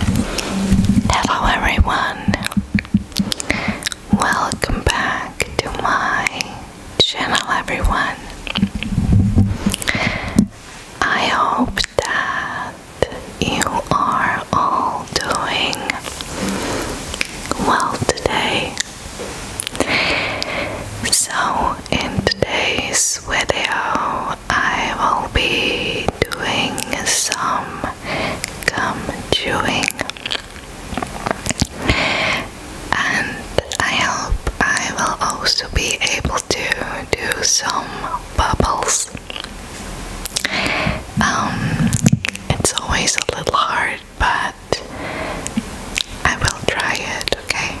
Hello everyone, welcome back to my channel everyone. I hope that you are all doing well today. So in today's video I will be doing some gum chewing, and I hope I will also be able to do some bubbles. Um, it's always a little hard, but I will try it, okay?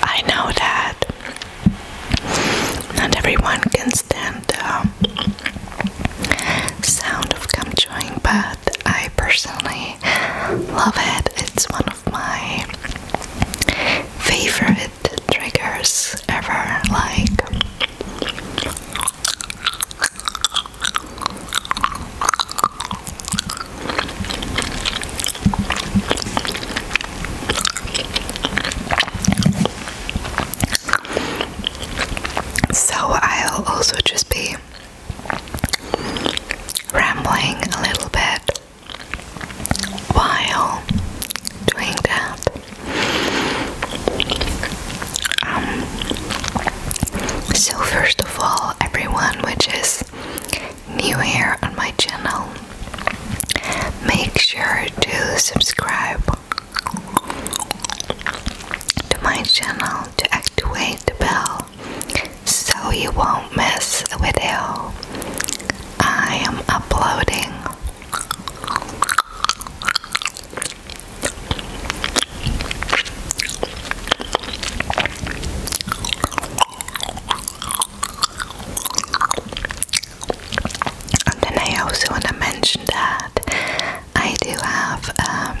I know that not everyone can stand the sound of gum but I personally love it. It's one of my favorite triggers ever. Like, so I'll also just be rambling a little bit while doing that. Um, so, first of all, everyone which is new here on my channel, make sure to subscribe to my channel to activate the bell so you won't miss a video I am uploading. And then I also want to mention that I do have a um,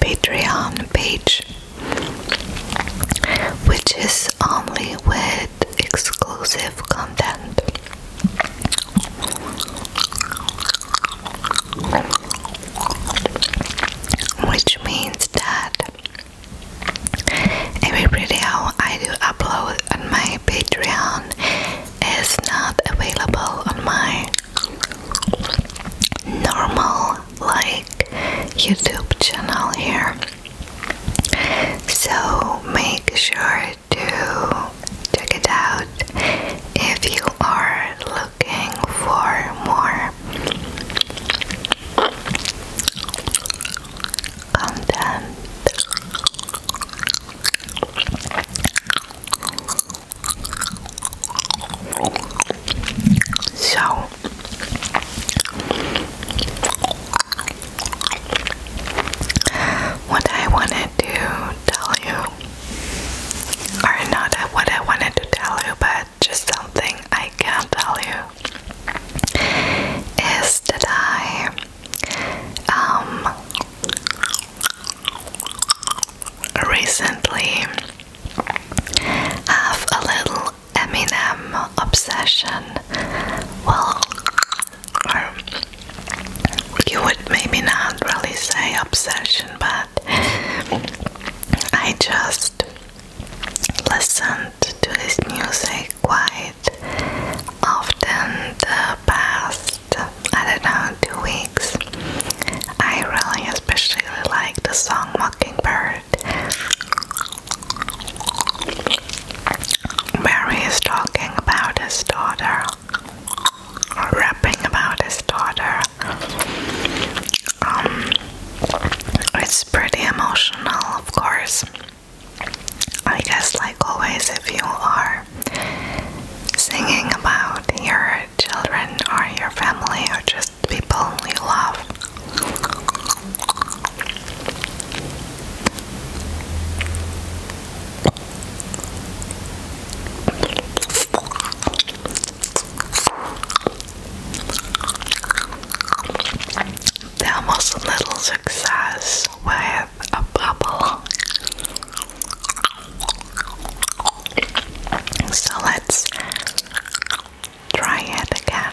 Patreon page, which is only with exclusive content which means that every video I do upload on my Patreon is not available on my normal like YouTube channel here. So make sure to check it out if you are looking for more content. So what I wanted to tell you are not what I wanted to tell you, but just something I can tell you is that I um recently have a little Eminem obsession. Well, you would maybe not really say obsession, but I just listened to this music quite often the past, I don't know, two weeks. I really especially like the song Mockingbird. Mary is talking about his daughter rapping about his daughter. Um, it's pretty emotional, of course. I guess, like always, if you are singing about your children or your family or just people you love, there was a little success with a bubble. So let's try it again.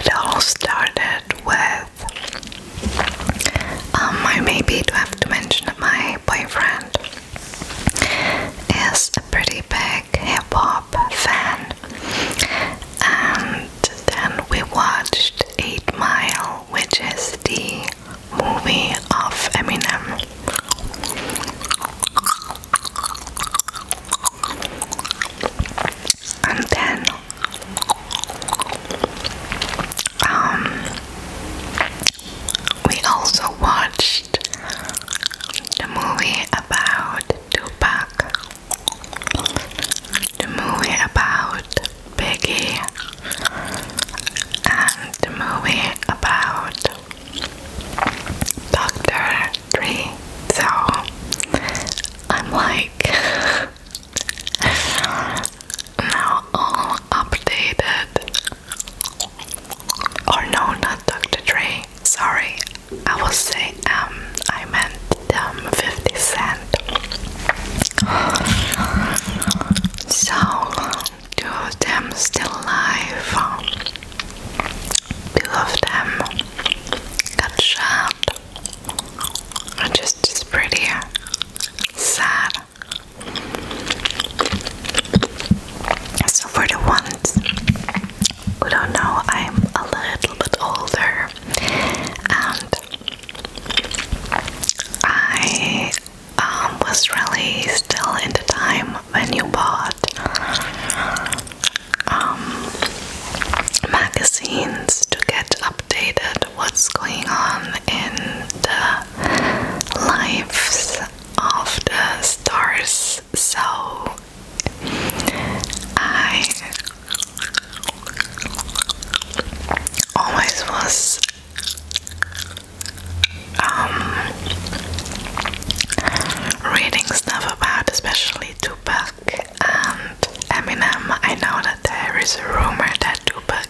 It all started with um, I maybe do have to mention my boyfriend is a pretty big hip hop fan, and then we watched Eight Mile, which is the movie of Eminem and then um, we also watched the movie about Tupac the movie about Biggie and the movie about Dr factory, so I'm like now all updated. Or no, not Dr. Sorry, I was saying um I meant um 50 Cent. So, two them still alive. Two of them got shot. just is pretty sad. So for the ones who don't know, I'm a little bit older and I um, was really still in the time when you bought um, magazines to get updated what's going on in the lives of the stars. So I always was um, reading stuff about, especially Tupac and Eminem. I know that there is a rumor that Tupac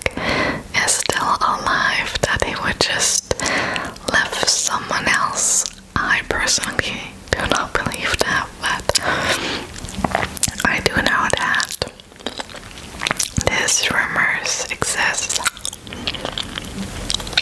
is still alive, that he would just live someone else. I personally do not believe that, but I do know that this rumors exists.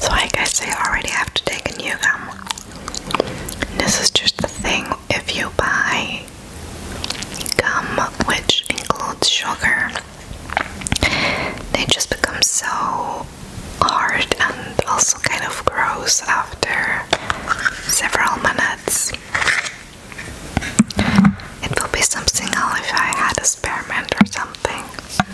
So, like I say, already have to take a new gum. this is just the thing if you buy gum which includes sugar, they just become so hard and also kind of gross after several minutes. It will be something else if I had a spearmint or something.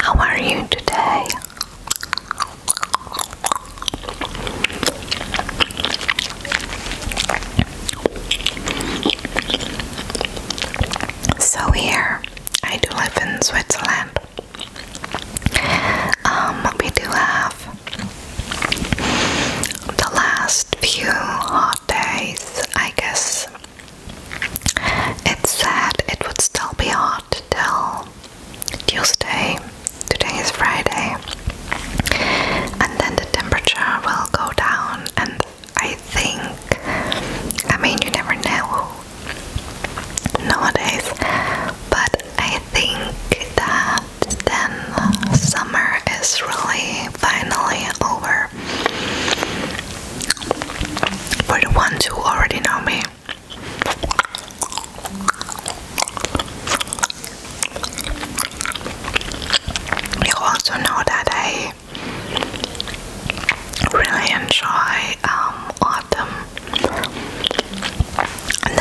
How are you today? So here, I do live in Switzerland. Um, we do have the last few hot days. I guess it's sad it would still be hot Tuesday. Today is Friday. And then the temperature will go down and I think I mean you never know nowadays but I think that then summer is really finally over. For the ones who already know me, you also know that I really enjoy um, autumn, I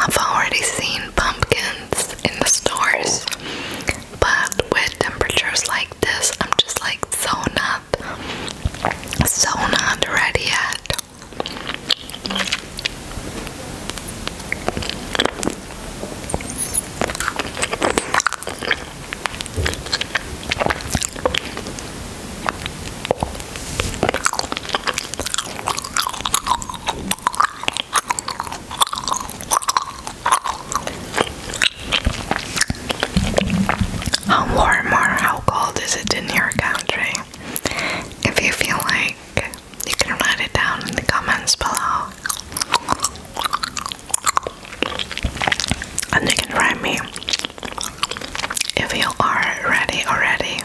have already seen pumpkins in the stores, but with temperatures like this, I'm just like so not, so not ready yet. How warm or how cold is it in your country? If you feel like you can write it down in the comments below. And you can write me if you are ready already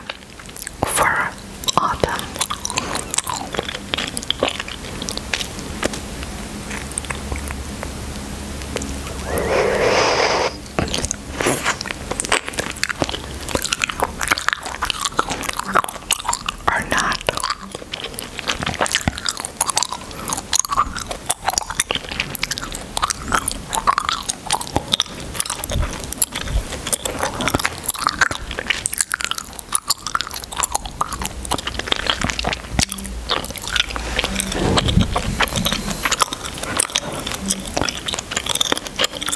for autumn are not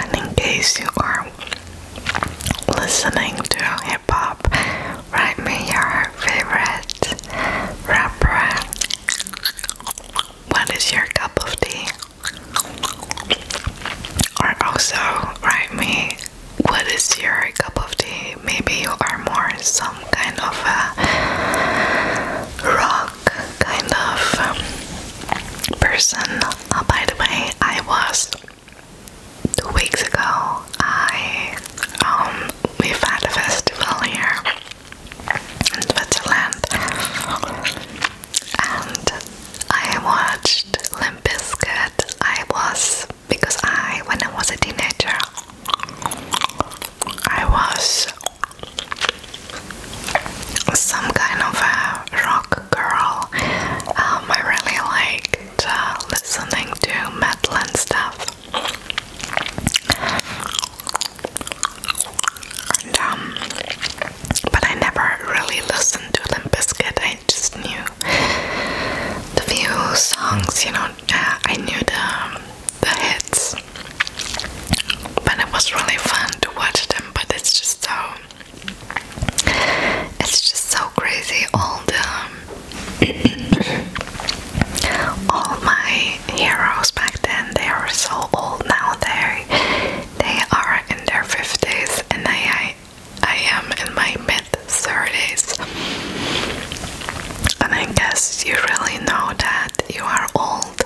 And in case you are listening to hip hop, write me your favorite rapper. What is your cup of tea? Or also write me what is your cup of tea? Maybe you are more some kind of a rock kind of um, person. Uh, by the way, I was two weeks ago. I um, we've had a festival here in Switzerland, and I watched Limp Bizkit. I was because I when I was a teenager. I was some kind of a rock girl. Um, I really liked uh, listening to metal and stuff. Um, but I never really listened to Limp Bizkit. I just knew the few songs, you know. Uh, I knew the um, the hits. But it was really fun to watch them, but it's just so it's just so crazy all the all my heroes back then they are so old now they they are in their 50s and I, I I am in my mid 30s and I guess you really know that you are old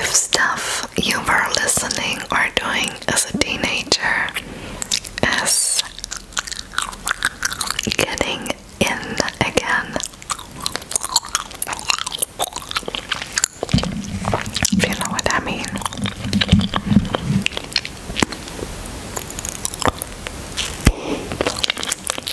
if stuff you were listening or doing as a teenager is getting in again. If you know what I mean.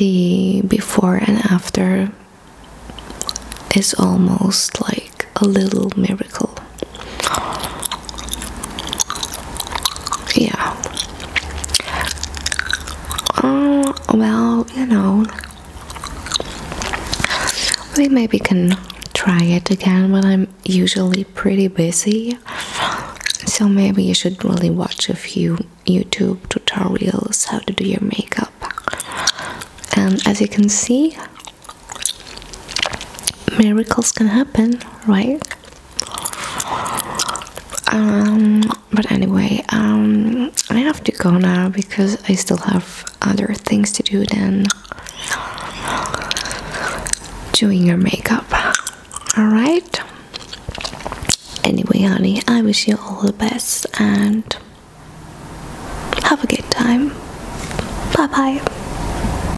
The before and after is almost like a little miracle. Yeah. Uh, well, you know, we maybe can try it again, but I'm usually pretty busy. So maybe you should really watch a few YouTube tutorials how to do your makeup. And as you can see, miracles can happen, right? um but anyway um i have to go now because i still have other things to do than doing your makeup all right anyway honey i wish you all the best and have a good time bye bye